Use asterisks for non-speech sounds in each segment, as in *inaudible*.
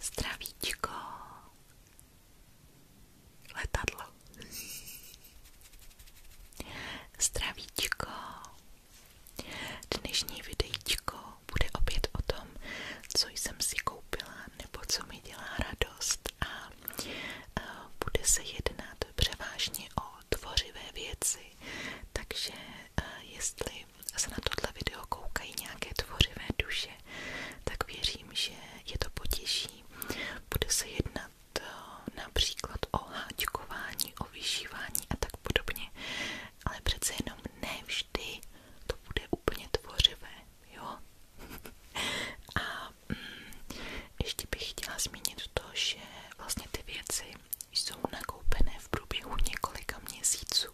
Zdravíčko. Letadlo. Zdravíčko. Dnešní videíčko bude opět o tom, co jsem si koupila nebo co mi dělá radost a bude se jednat převážně o tvořivé věci, takže Eh, jestli se na tohle video koukají nějaké tvořivé duše, tak věřím, že je to potěší. Bude se jednat eh, například o háčkování, o vyšívání a tak podobně, ale přece jenom ne vždy to bude úplně tvořivé, jo? *laughs* a mm, ještě bych chtěla zmínit to, že vlastně ty věci jsou nakoupené v průběhu několika měsíců.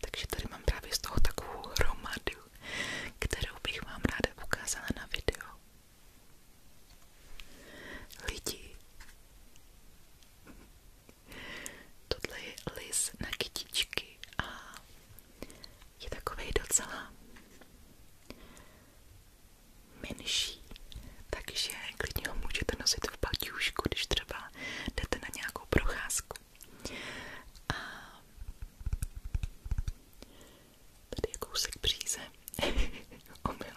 Takže tady mám právě z toho takovou hromadu, kterou bych vám ráda ukázala na video. Lidi, tohle je na kytičky a je takovej docela menší, takže klidně ho můžete nosit v baťušku, když třeba a jdete na nějakou procházku. A tady je kousek bříze. *laughs* Omyl.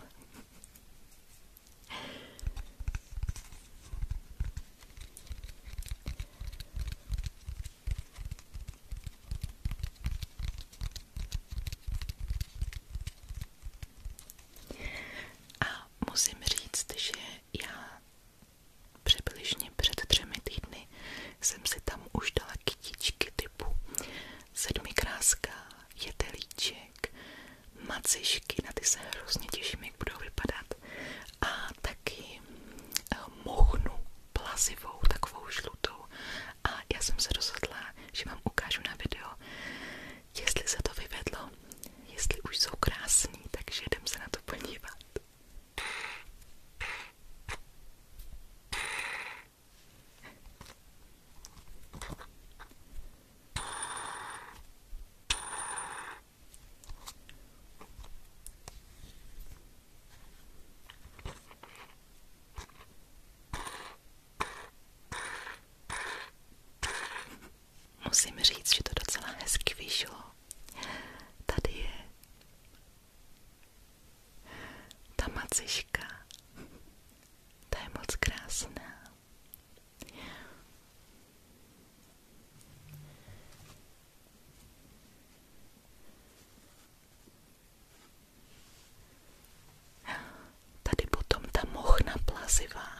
A musím říct, že já přibližně před třemi týdny jsem si tam už dala kytičky typu sedmikráska, jetelíček, macišky, na ty se hrozně těším, jak budou vypadat a taky eh, mohnu plazivou, takovou žlutou a já jsem se rozhodla, že vám ukážu na video, jestli se to vyvedlo, jestli už jsou krásní, takže jdem se na to podívat. Musím říct, že to docela hezky vyšlo. Tady je ta maciška. Ta je moc krásná. Tady potom ta mochna plazivá.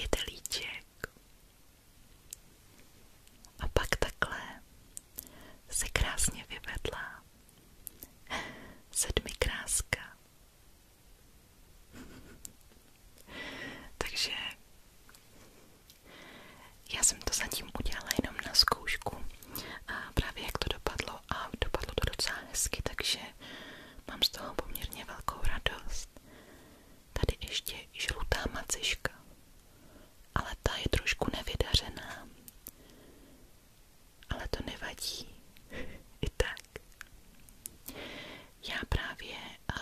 Jedelíček. A pak takhle se krásně vyvedla sedmikráska *laughs* Takže já jsem to zatím udělala jenom na zkoušku a právě jak to dopadlo a dopadlo to docela hezky, takže mám z toho poměrně velkou radost. Tady ještě žlutá maciška, ale ta je trošku nevydařená, ale to nevadí, *laughs* i tak já právě uh,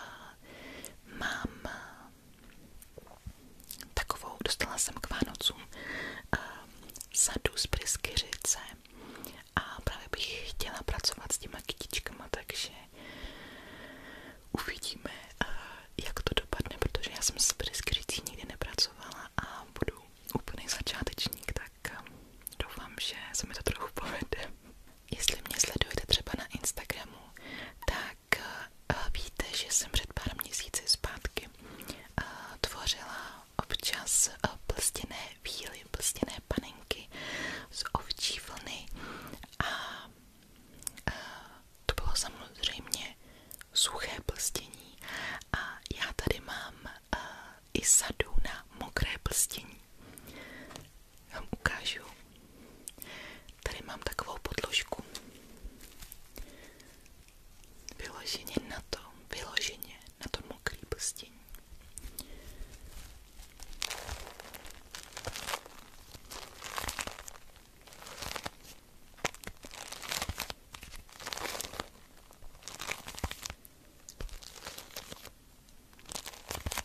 mám eh, takovou, dostala jsem k Vánocům uh, sadu z pryskyřice a právě bych chtěla pracovat s těma kytičkama, takže uvidíme, uh, jak to dopadne, protože já jsem s pryskyřicí nikdy nepracovala a budu úplný začátečník, tak doufám, že se mi to trochu povede. Jestli mě sledujete třeba na Instagramu, tak eh, víte, že jsem před pár měsíci zpátky eh, tvořila občas eh, plstěné víly, plstěné panenky z ovčí vlny a to bylo samozřejmě suché plstění a já tady mám i sadu na mokré plstění vám ukážu. Tady mám takovou podložku. Vyloženě na to, vyloženě na to mokrý prstín.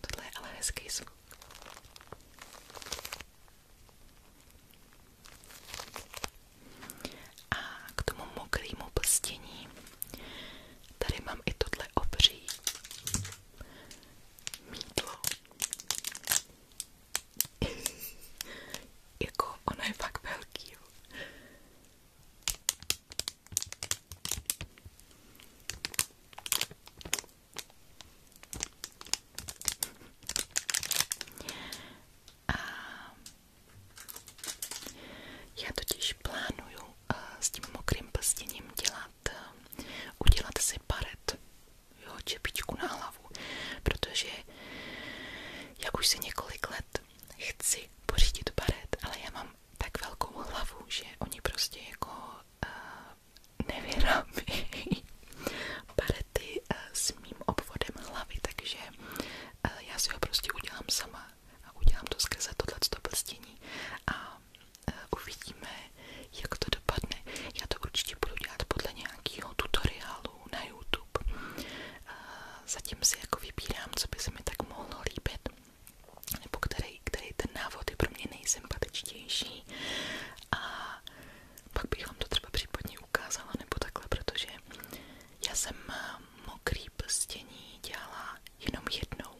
Tohle je ale hezký zvuk. A k tomu mokrýmu prstění tady mám i tohle obří mítlo. *laughs* jako ono je fakt velký. Jo. A já totiž plánuju eh, s tím mokrým prstěním dělat, eh, udělat si baret, jo, čepičku na hlavu, protože jak už si několik let chci pořídit baret, ale já mám tak velkou hlavu, že oni prostě jako uh, nevyrábějí barety uh, eh, s mým obvodem hlavy, takže uh, já si ho prostě udělám sama a udělám to skrze tohleto prstění a uh, uvidíme, jak to dopadne. Já to určitě budu dělat podle nějakého tutoriálu na YouTube. Uh, zatím si jako vybírám, co by se mi tak mohlo líbit nebo který, který ten návod pro mě nejsympatičtější a pak bych vám to třeba případně ukázala nebo takhle, protože já jsem mokrý prstění dělala jenom jednou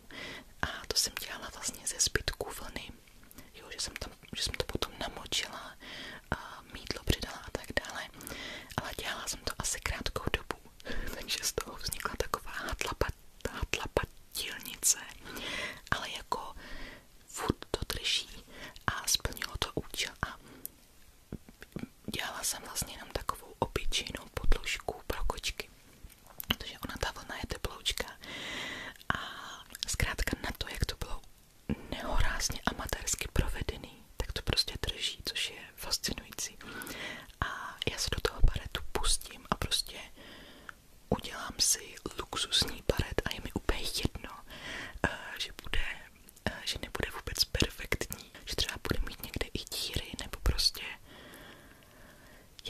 a to jsem dělala vlastně ze zbytků vlny, jo, že, jsem tam, že jsem to potom namočila, a mítlo a tak dále, ale dělala jsem to asi krátkou dobu takže z toho vznikla taková hatlapatilnice, ale jako furt a splnilo to účel a dělala jsem vlastně takovou obyčejnou podložku pro kočky, ona ta vlna je teploučka a zkrátka na to, jak to bylo nehorázně amatérsky provedený, tak to prostě drží, což je fascinující. A já se do toho baretu pustím a prostě udělám si luxusní baret a je mi úplně jedno, eh, že bude, eh, že nebude vůbec perfektní, že třeba bude mít někde i díry, nebo prostě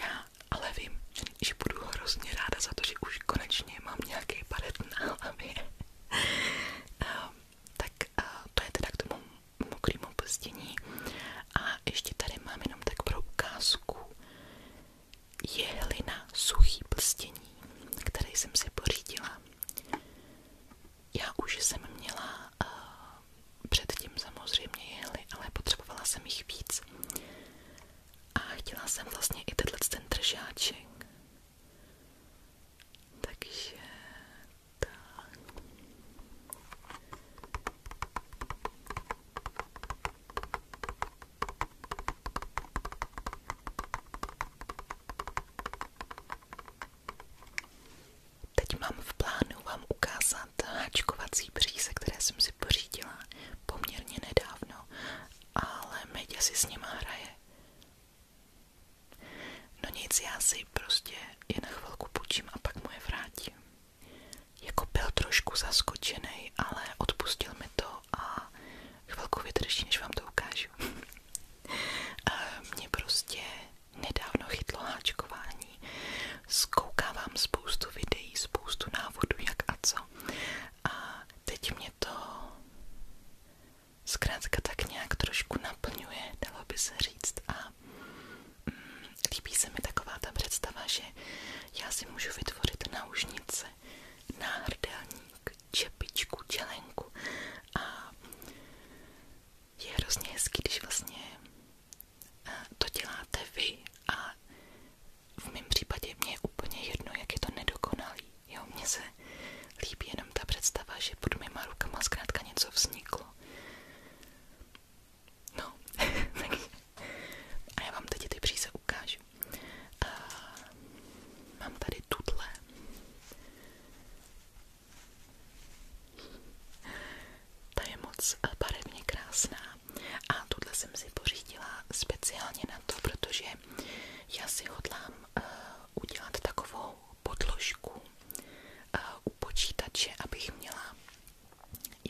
já ale vím, že, budu hrozně ráda za to, že už konečně mám nějaký baret na hlavě. *laughs* Ehm, tak eh, to je teda k tomu mokrému prstění. A ještě tady mám jenom tak pro ukázku jehlina suchý prstění, který jsem si pořídila. Já už jsem měla uh, předtím samozřejmě jehly, ale potřebovala jsem jich víc. A chtěla jsem vlastně i tenhle ten držáček. Takže tak. Teď mám v plánu vám ukázat háčkovací bříze, které jsem si pořídila poměrně nedávno, ale Medě si s nima hraje No nic, já si prostě jen chvilku půjčím a pak mu je vrátím. Jako byl trošku zaskočený, ale odpustil mi to a chvilku vydrží, než vám to ukážu. *laughs* Mě prostě nedávno chytlo háčkování. Zkoukávám spoustu videí, spoustu návodů, jak a co. A teď mě to zkrátka tak nějak trošku naplňuje, dalo by se říct a mm, líbí se mi taková ta představa, že já si můžu vytvořit náušnice, náhrdelník, čepičku, čelenku a je hrozně hezký, když vlastně to děláte vy a v mém případě mě je úplně jedno, jak je to nedokonalý. Jo, mně se líbí jenom ta představa, že pod mýma rukama zkrátka něco vzniklo. No, *laughs* takže. A já vám teď ty příze ukážu. A mám tady tuhle. Ta je moc barevně krásná. A tuhle jsem si pořídila speciálně na to, protože já si hodlám uh, udělat takovou podložku eh, u počítače, abych měla,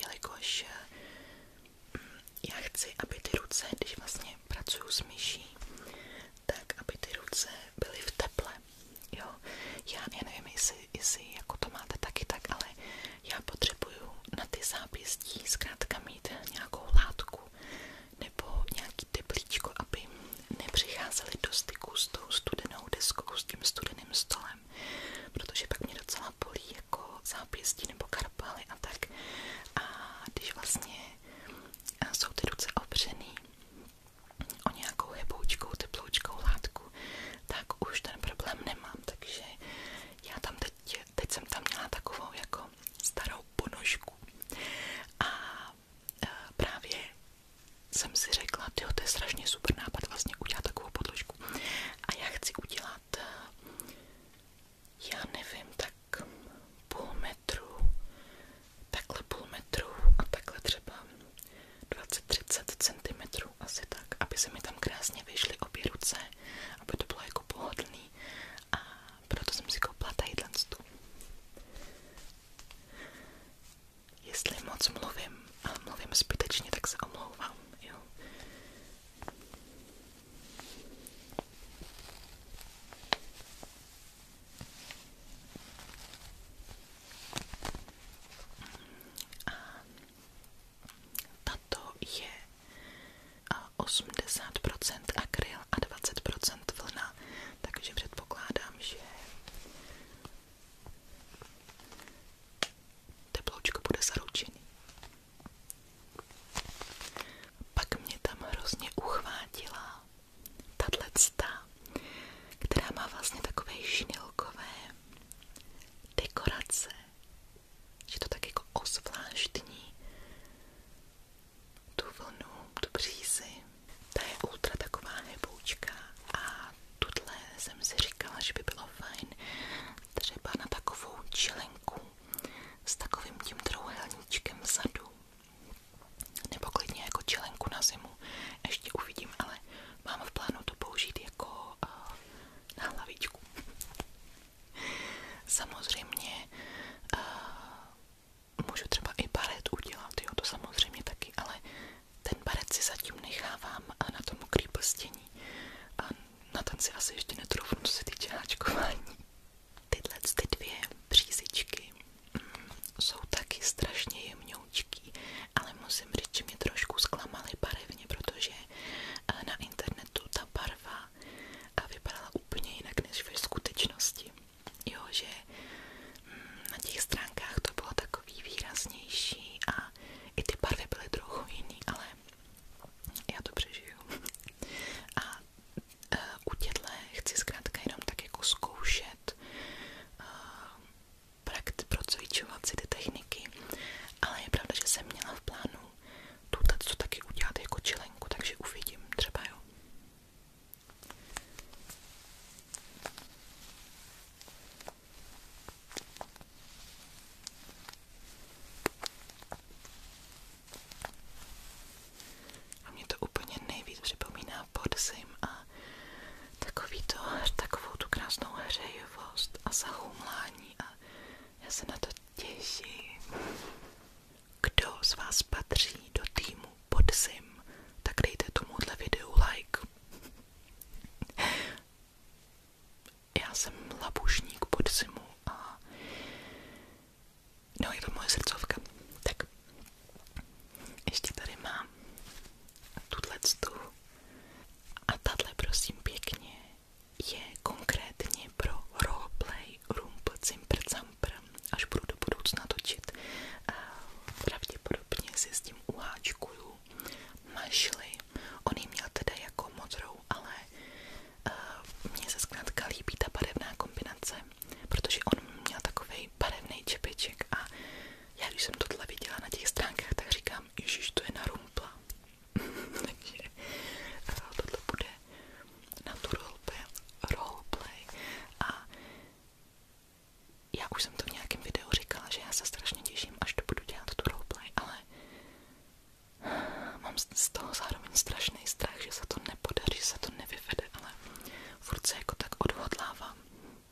jelikož eh, já chci, aby ty ruce, když vlastně pracuju s myší, tak aby ty ruce byly v teple. Jo, já, já nevím, jestli, jestli jako to máte taky tak, ale já potřebuju na ty zápěstí zkrátka mít nějakou látku nebo nějaký teplíčko, aby nepřicházeli do styku s tou studenou deskou, s tím studeným stolem, protože pak mě docela bolí jako zápěstí nebo karpaly a tak. A když vlastně eh, jsou ty ruce opřený o nějakou heboučkou, teploučkou látku, tak už ten problém nemám, takže já tam teď, teď jsem tam měla takovou jako starou ponožku a eh, právě jsem si řekla, tyjo, to je strašně super nápad vlastně udělat takovou podložku. A já chci udělat, já nevím, tak půl metru, takhle půl metru a takhle třeba 20-30 cm asi tak, aby se mi tam krásně vyšly obě ruce, aby to bylo jako pohodlný a proto jsem si koupila tadyhle Jestli moc mluvím a mluvím zbytečně, tak se omlouvám, jo. A tato je 80% akryl a 20% vlna takže předpokládám, že teploučko bude zaručený. Pak mě tam hrozně uchvátila tato cta, která má vlastně takové šnilkové dekorace. Je to tak jako ozvláštní tu vlnu, tu břízi. Ta je ultra taková heboučka a tuhle jsem si říkala, že by bylo fajn třeba na takovou čilenku s takovým tím trouhelníčkem vzadu. Nebo klidně jako čilenku na zimu. Ještě uvidím, ale mám v plánu to použít jako uh, na hlavičku. *laughs* Samozřejmě uh, můžu třeba i baret udělat, jo, to samozřejmě taky, ale ten baret si zatím nechávám a na tom mokrý prstění a na ten si asi ještě netroufnu, co se týče háčkování. Tyhle ty dvě přízičky mm, jsou taky strašně jemňoučký, ale musím říct, že mě trošku zklamaly barevně, protože eh, na internetu ta barva eh, vypadala úplně jinak než ve skutečnosti jo, že mm, na těch stránkách to bylo takový výraznější a i ty barvy byly trochu jiný, ale já to přežiju. *laughs* A e, u těchto chci zkrátka jenom tak jako zkoušet e, procvičovat si ty techniky, ale je pravda, že jsem měla v plánu tuto taky udělat jako čilenku, takže uvidím třeba jo. A mě to úplně nejvíc připomíná podzim a takový to, takovou tu krásnou hřejivost a zahumlání a já se na to těším kdo z vás patří do týmu Podzim, tak dejte tomuhle videu like. Já jsem labušník Podzimu a no je to moje srdcovka. Tak ještě tady mám tu a tahle prosím pěkně je konkrétně pro roleplay rump cimpr campr, až budu do budoucna točit. Pravděpodobně si s tím uháčkuju mašly. On ji měl teda jako modrou, ale eh, mně se zkrátka líbí ta barevná kombinace, protože on měl takový barevný čepeček a já když jsem tohle viděla na těch stránkách, tak říkám, ježiš, to je na rumpla. *laughs* Takže eh, tohle bude na tu roleplay, roleplay a já už jsem to v nějakém videu říkala, že já se strašně těším, až budu dělat tu roleplay, ale mám z toho zároveň strašný strach, že se to nepodaří, že se to nevyvede, ale furt se jako tak odhodlávám.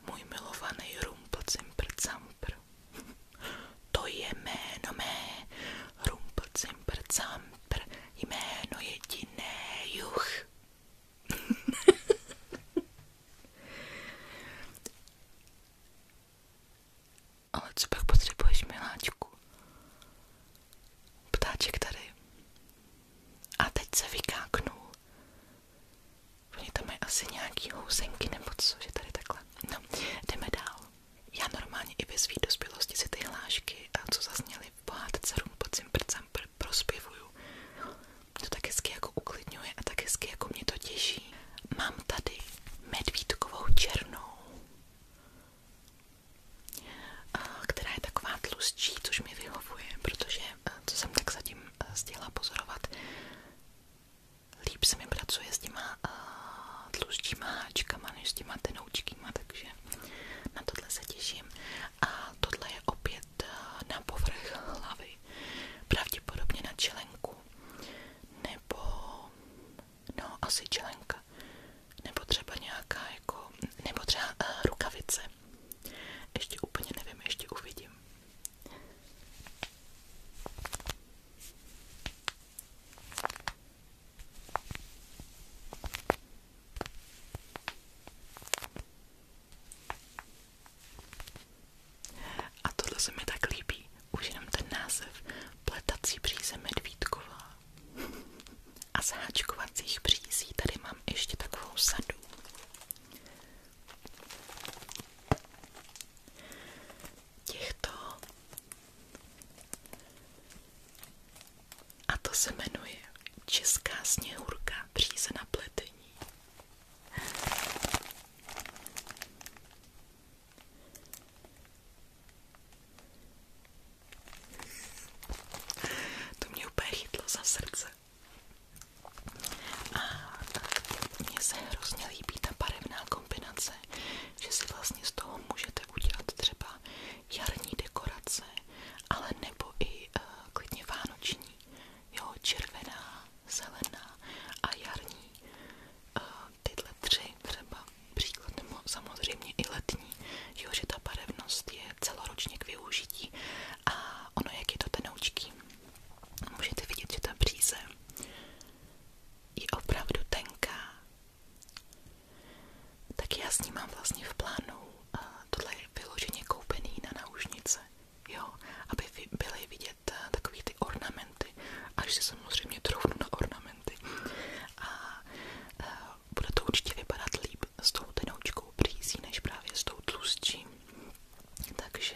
Můj milovaný Rumpelcimpercampr. To je jméno mé, Rumpelcimpercampr, jméno jediné, juch bych. *laughs* Ale co pak potřebuješ, miláčku? tady. A teď se vykáknul. Oni tam asi nějaký housenky nebo co, že tady takhle. No, jdeme dál. Já normálně i ve svý dospělosti si ty hlášky, co zazněly, měli v pohádce rum pod svým prcem pr prospěvuju. To tak hezky jako uklidňuje a tak hezky jako mě to těší. Mám tady medvídkovou černou, která je taková tlustší, což mi vyhovuje, protože e, co jsem tak zatím e, stihla pozorovat, líp se mi pracuje s těma uh, e, tlustíma háčkama než s těma vanoučkýma, takže na tohle se těším. A tohle je opět eh, na povrch hlavy, pravděpodobně na čelenku, nebo no asi čelenka, nebo třeba nějaká jako, nebo třeba uh, rukavice. Ještě úplně nevím, ještě uvidím. A tohle se mi tak líbí. Už jenom ten název. Pletací bříze medvídková. A z háčkovacích břízí tady mám ještě takovou sadu. Těchto a to se jmenuje Česká sněhurka příze na pletení. To mě úplně chytlo za srdce. A mně se hrozně líbí ta barevná kombinace, že si vlastně z toho můžete udělat třeba jarní dekorace, ale nebo i uh, klidně vánoční, jo, červená, zelená a jarní. Uh, tyhle tři třeba příklad, nebo samozřejmě i letní, jo, že ta barevnost je celoročně k využití a ono, jak je to tenoučký, můžete vidět, že ta bříze je opravdu tenká tak já s ním mám vlastně v plánu uh, tohle je vyloženě koupený na náušnice, jo, aby byly vidět uh, takový ty ornamenty, až se samozřejmě troufnu na ornamenty. A uh, bude to určitě vypadat líp s tou tenoučkou brýzí, než právě s tou tlustší. Takže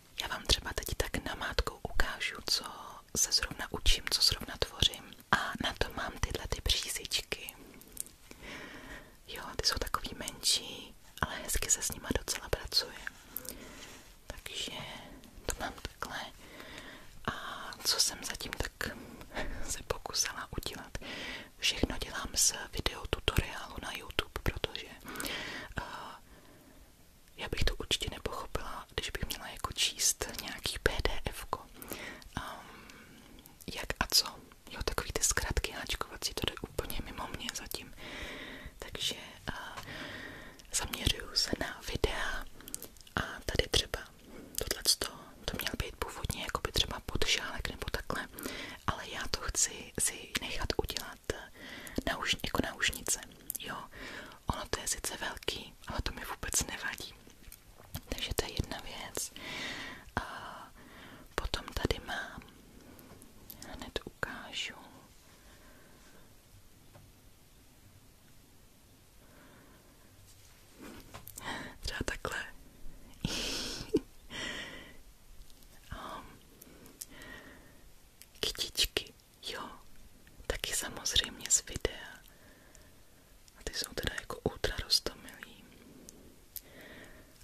Já vám třeba teď tak na namátkou ukážu, co se zrovna učím, co zrovna tvořím. A na to mám tyhle ty přízičky. Jo, ty jsou takový menší, ale hezky se s nima docela pracuje. Takže to mám takhle. A co jsem zatím tak *laughs* se pokusila udělat. Všechno dělám s video na YouTube, protože eh, já bych to určitě nepochopila, když bych měla jako číst nějaký pdf -ko. jak a co. Jo, takový ty zkratky háčkovací, to jde úplně mimo mě zatím. Takže uh, se na videa a tady třeba tohleto, to měl být původně jako by třeba podšálek nebo takhle, ale já to chci si nechat udělat dát na už, jako na ušnice, jo. Ono to je sice velký, ale to mi vůbec nevadí. Takže to je jedna věc. A potom tady mám, hned ukážu, třeba *laughs* Kytičky, jo, taky samozřejmě z videa. A ty jsou teda jako ultra roztomilý.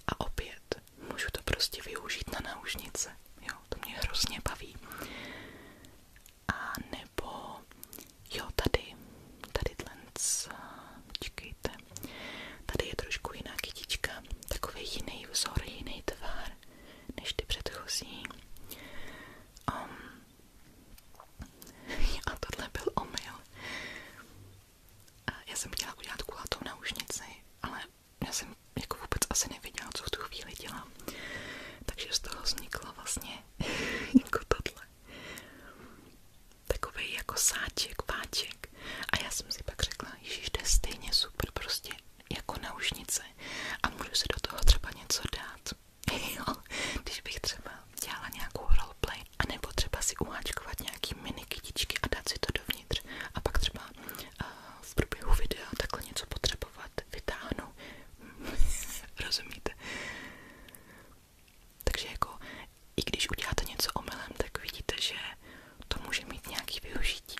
A opět, můžu to prostě využít na náušnice, jo, to mě hrozně baví. A nebo, jo, tady, tady tlenc, počkejte, tady je trošku jiná kytička, takový jiný vzor, jiný tvar pár než ty předchozí. Um, *laughs* a tohle byl omyl. Eh, já jsem chtěla udělat kulatou náušnici, ale já jsem jako vůbec asi nevěděla, co v tu chvíli dělám. Takže z toho vzniklo vlastně *laughs* jako tohle. Takový jako sáček, váček. A já jsem si pak řekla, že to je stejně super prostě jako náušnici a můžu si do toho třeba něco dát. *laughs* Jo, když bych třeba dělala nějakou roleplay, anebo třeba si uháčkovat nějaký mini kytičky a dát si to dovnitř a pak třeba uh, v průběhu videa takhle něco potřebovat, vytáhnu. *laughs* Rozumíte? Takže jako, i když uděláte něco omylem, tak vidíte, že to může mít nějaký využití.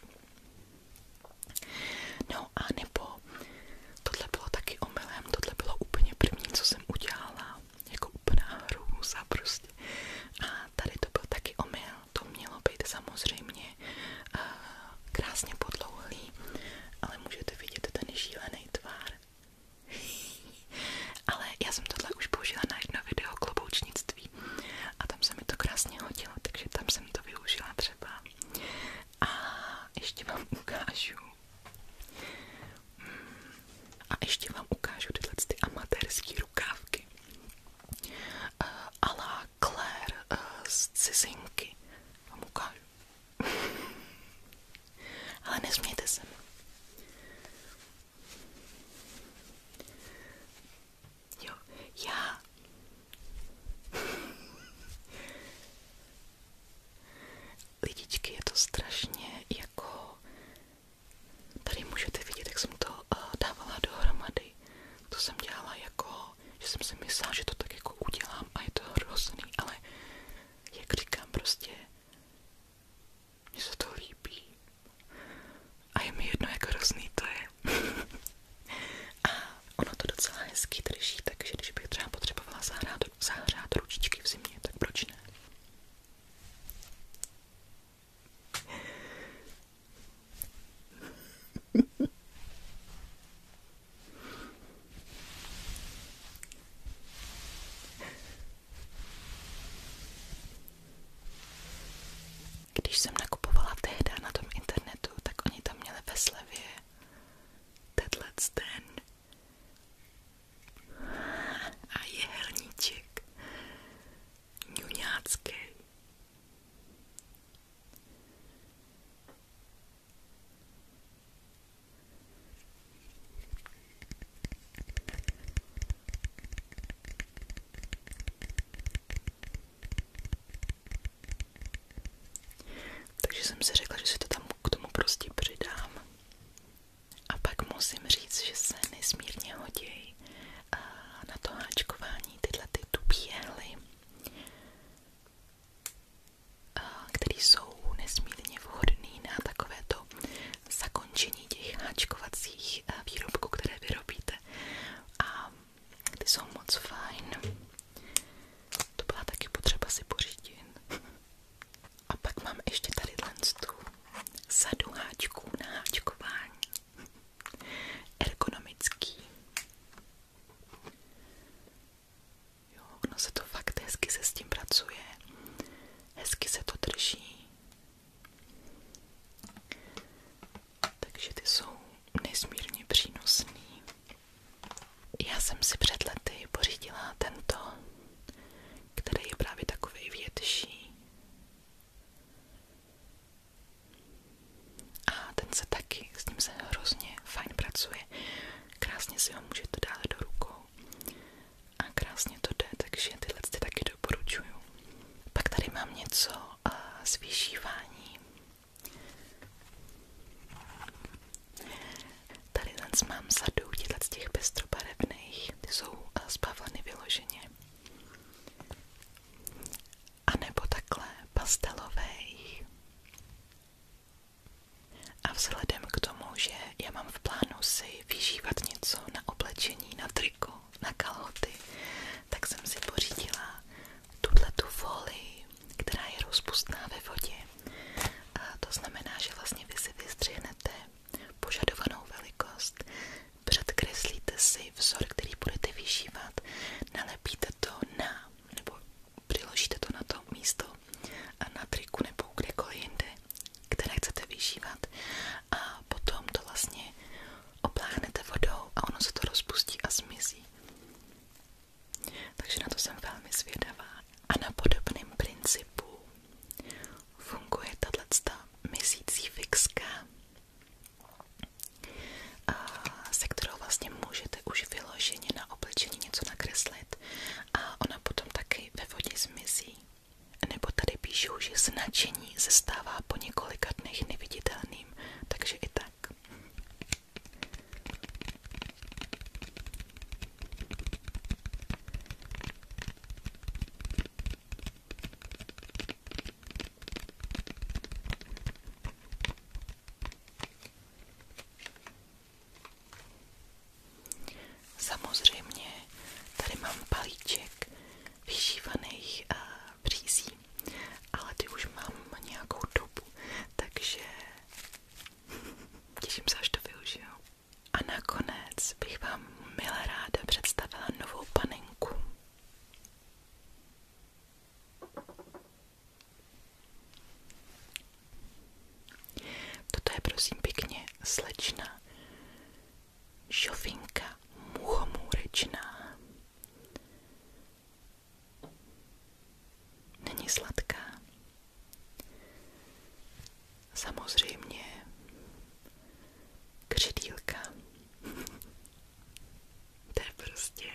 No a nebo tohle bylo taky omylem, tohle bylo úplně první, co jsem udělala, jako úplná hrůza prostě. A tady to byl taky omyl, to mělo být samozřejmě eh, krásně podlouhlý, ale můžete vidět ten šílený tvar. *laughs* ale já jsem tohle už použila na jedno video kloboučnictví herectví. A tam se mi to krásně hodilo, takže tam jsem to využila třeba. A ještě vám ukážu. Hmm, a ještě vám ukážu tyhle ty amatérské rukávky. Uh, a la Claire uh, z cizinky. Vám ukážu. *laughs* Ale nesmějte se Jo, já. Lidičky, je to strašně jako... Tady můžete vidět, jak jsem to uh, dávala dohromady. To jsem dělala jako, že jsem si myslela, že to tak jako udělám a je to hrozný, ale jak říkám prostě, mně se to líbí. A je mi jedno, jak hrozný to je. *laughs* A ono to docela hezky drží, takže když bych třeba potřebovala zahrát, zahřát ručičky v zimě, tak proč ne? *laughs* Když jsem nakupovala tehda na tom internetu, tak oni tam měli ve slevě tenhle ten a jehelníček ňuňácký. Takže jsem si řekla, že si to tam k tomu prostě přidám. A pak musím říct, že se nesmírně hodí na to háčkování tyhle ty tupí které jsou nesmírně vhodný na takovéto zakončení těch háčkovacích výrobků, které vyrobíte chcete. A ty jsou moc fajn. To byla taky potřeba si pořídit. A pak mám ještě tady tu sadu háčků na háčkování. Ergonomický. Jo, ono se to fakt hezky se s tím pracuje. Hezky se to drží. Takže ty jsou nesmírně přínosný. Já jsem si před lety pořídila tento, který je právě takový větší. A ten se taky, s ním se hrozně fajn pracuje. Krásně si ho můžete dát do rukou. A krásně to jde, takže tyhle ty taky doporučuju. Pak tady mám něco uh, Tady ten mám sadu z těch pestrobarevných, jsou uh, eh, z A nebo takhle pastelových. A vzhledem k tomu, že já mám v plánu si vyžívat něco na oblečení, na triko, na kalhoty, tak jsem si pořídila tu folii, která je rozpustná ve vodě. A to znamená, že vlastně vy si vystřihnete požadovanou velikost, předkreslíte si vzor, který budete vyšívat, nalepíte to na, nebo přiložíte to na to místo a na triku nebo kdekoliv jinde, které chcete vyšívat a potom to vlastně opláhnete vodou a ono se to rozpustí a zmizí. Takže na to jsem velmi zvědavá. A na podobném principu funguje tato měsící fixka, se kterou vlastně můžete už vyloženě na oblečení něco nakreslit a ona potom taky ve vodě zmizí. Nebo tady píšou, že značení se stává po několika dnech neviditelným, takže i tak. Samozřejmě tady mám palíček, vyšívaných uh, eh, břízí, ale ty už mám nějakou dobu, takže *laughs* těším se, až to využiju. A nakonec bych vám milé ráda představila novou panenku. Toto je prosím pěkně slečna, šofinka muchomůrečná. Není sladká. Samozřejmě křidílka. *laughs* to je prostě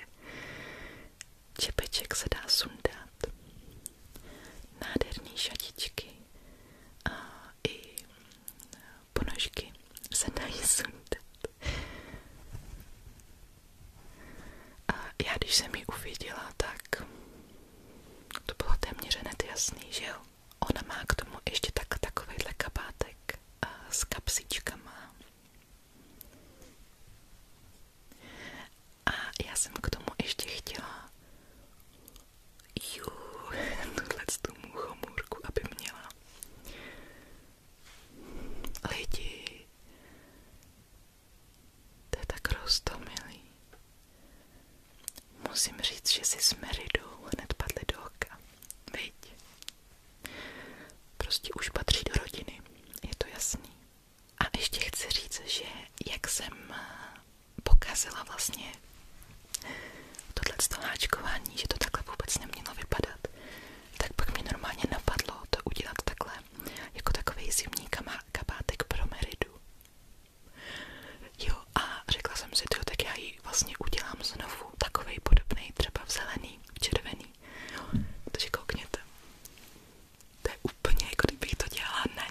čepeček se dá sundat. Nádherný šatičky a i ponožky se dají sundat. A já když jsem ji uviděla, tak to bylo téměř hned jasný, že jo. Ona má k tomu ještě tak, takovýhle kabátek a s kapsičkama. A já jsem k tomu ještě chtěla ju, *laughs* tu muchomůrku, aby měla. Lidi, to je tak roztomilý. Musím říct, že si s Meridou hned padli do oka. Viď? Prostě už patří do rodiny, je to jasný. A ještě chci říct, že jak jsem pokazila vlastně tohleto háčkování, že to takhle vůbec nemělo vypadat, tak pak mi normálně napadlo to udělat takhle, jako takový zimní kabátek pro Meridu. Jo, a řekla jsem si, to, tak já ji vlastně udělám znovu, takovej podobný, třeba v zelený, v červený. Jo, takže koukněte. To je úplně jako kdybych to dělala na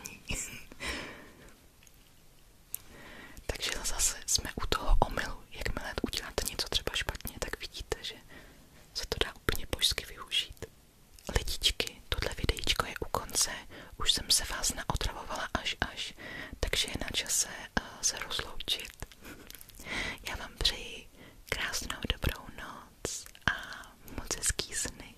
takže zase jsme u toho omylu. Jakmile uděláte něco třeba špatně, tak vidíte, že se to dá úplně božsky využít. Lidičky, tohle videíčko je u konce, už jsem se vás naotravovala až až, takže je na čase uh, se rozloučit. Já vám přeji krásnou dobrou noc a moc hezký sny.